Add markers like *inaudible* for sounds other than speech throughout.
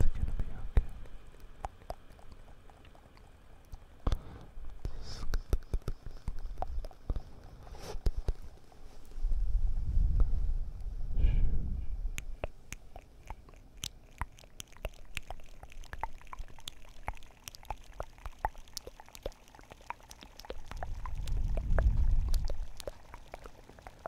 It's gonna be okay. Shh. *laughs*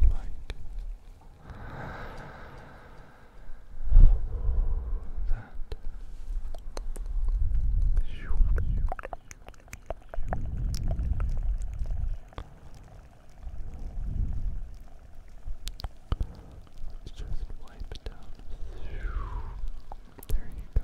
like that. just wipe it down. There you go.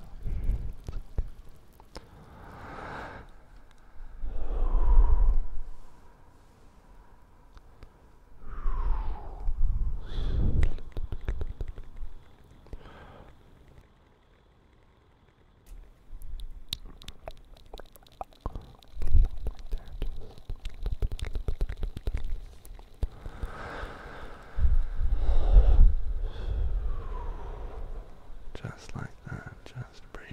Just like that, just breathe,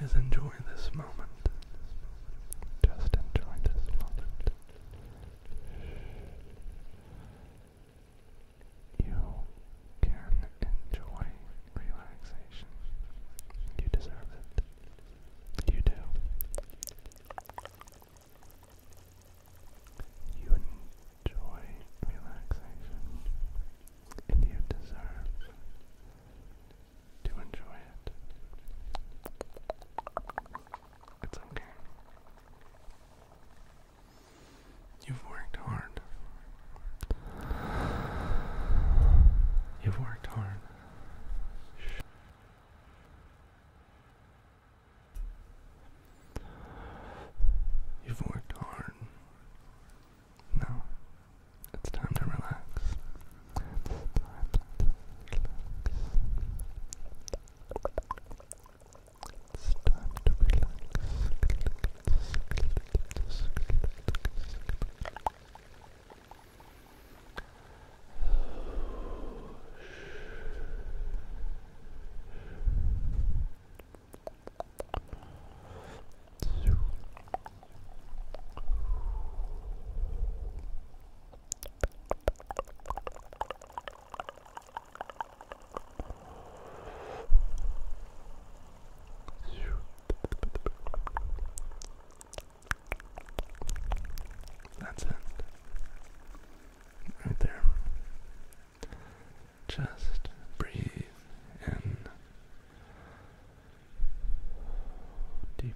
is enjoy this moment. Just enjoy this moment. You can enjoy relaxation. You deserve it. You do. You enjoy relaxation and you deserve to enjoy it. It's okay. You've worked hard. You've worked hard. You've worked hard. Now it's time to relax. It's time to Relax. That's it. Right there. Just breathe in deeply.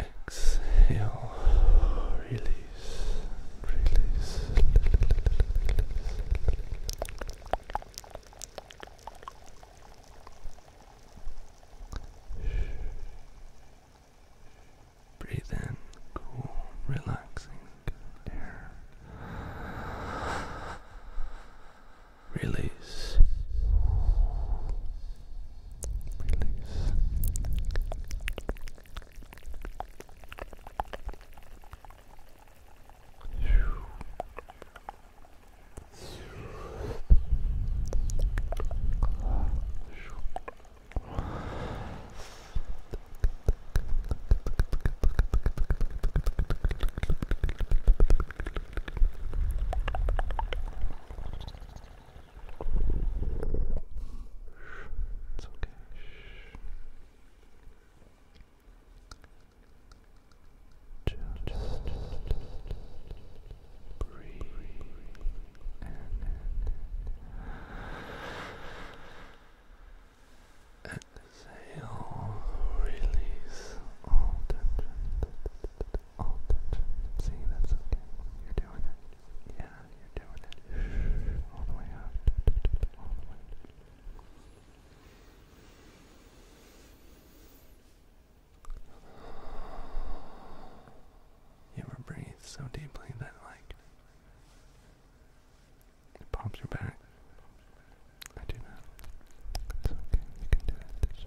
Exhale, release, release. Breathe in cool, relaxing air. Release. Release. It's okay. Just breathe exhale, release all tension, all tension. See, that's okay. You're doing it. Yeah, you're doing it. All the way out. All the way. You were breathed so deeply that, like, it pops your back. I do not. It's okay. You can do it. It's just...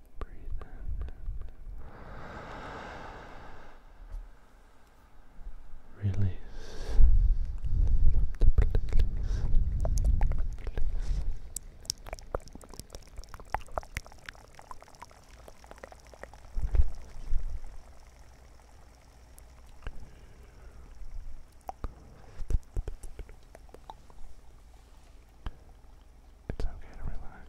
Breathe Release. It's okay to relax.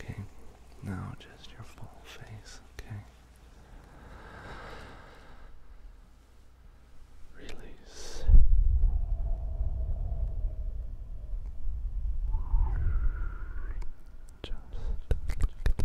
Okay, now just your full face, okay? Release. Just just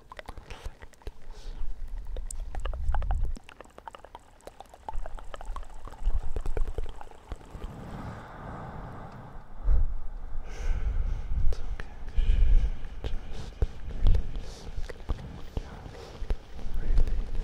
It's okay. Just release. Just release. Just release.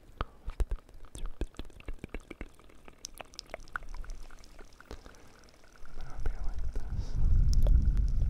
Maybe like this. Your face. Relaxing your face.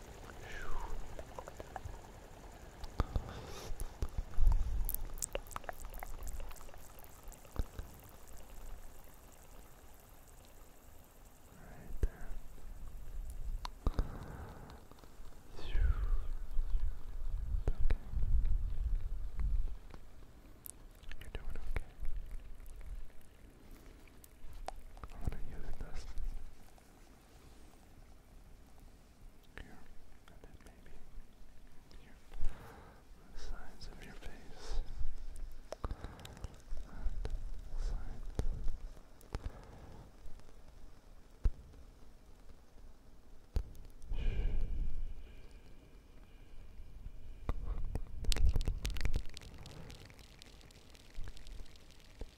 Right there. You're doing okay. I'm gonna use this here, and maybe here, the sides of your face, and side.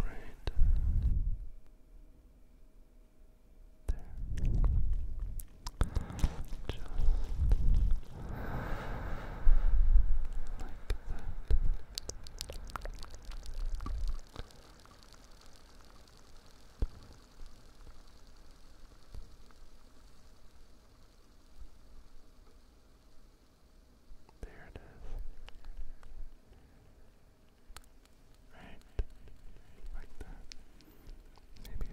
Right there. Just like that. There it is. Right. Like that. Maybe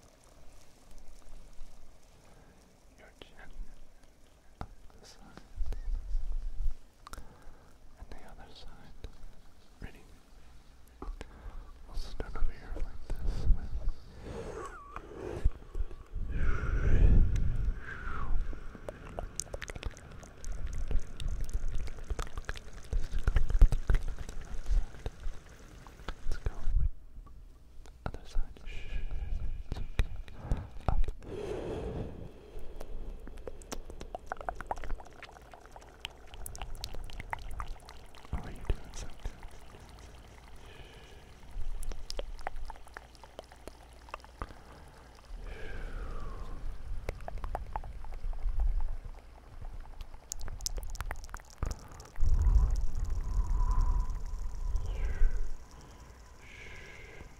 your chin up the side and the other side. Ready? We'll start over here like this. Let's go with other side. Shh, it's okay. Up. How are you doing so good? Shh.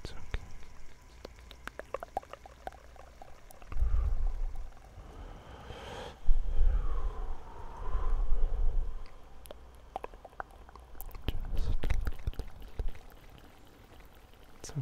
It's okay. Just it's okay.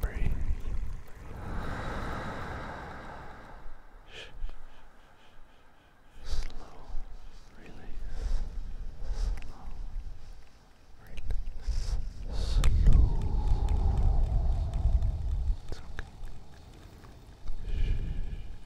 Breathe. Slow release. Slow release. Slow. It's okay. Shh.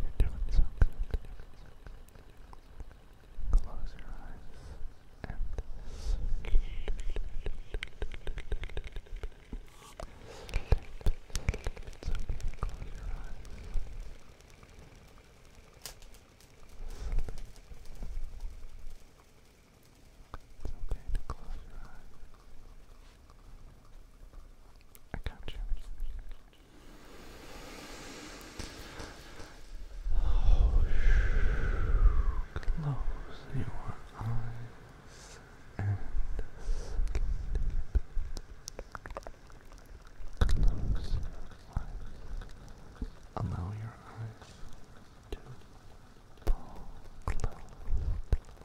You're doing so good. Close your eyes and sleep. It's okay. Close your eyes. Sleep. It's okay to close your eyes close your eyes and sleep. Allow your eyes to fall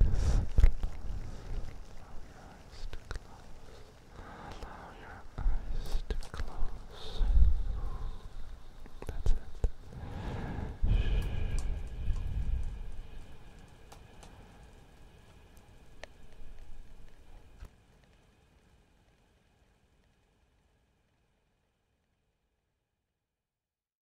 eyes to close. Allow your eyes to close. That's it. Shh.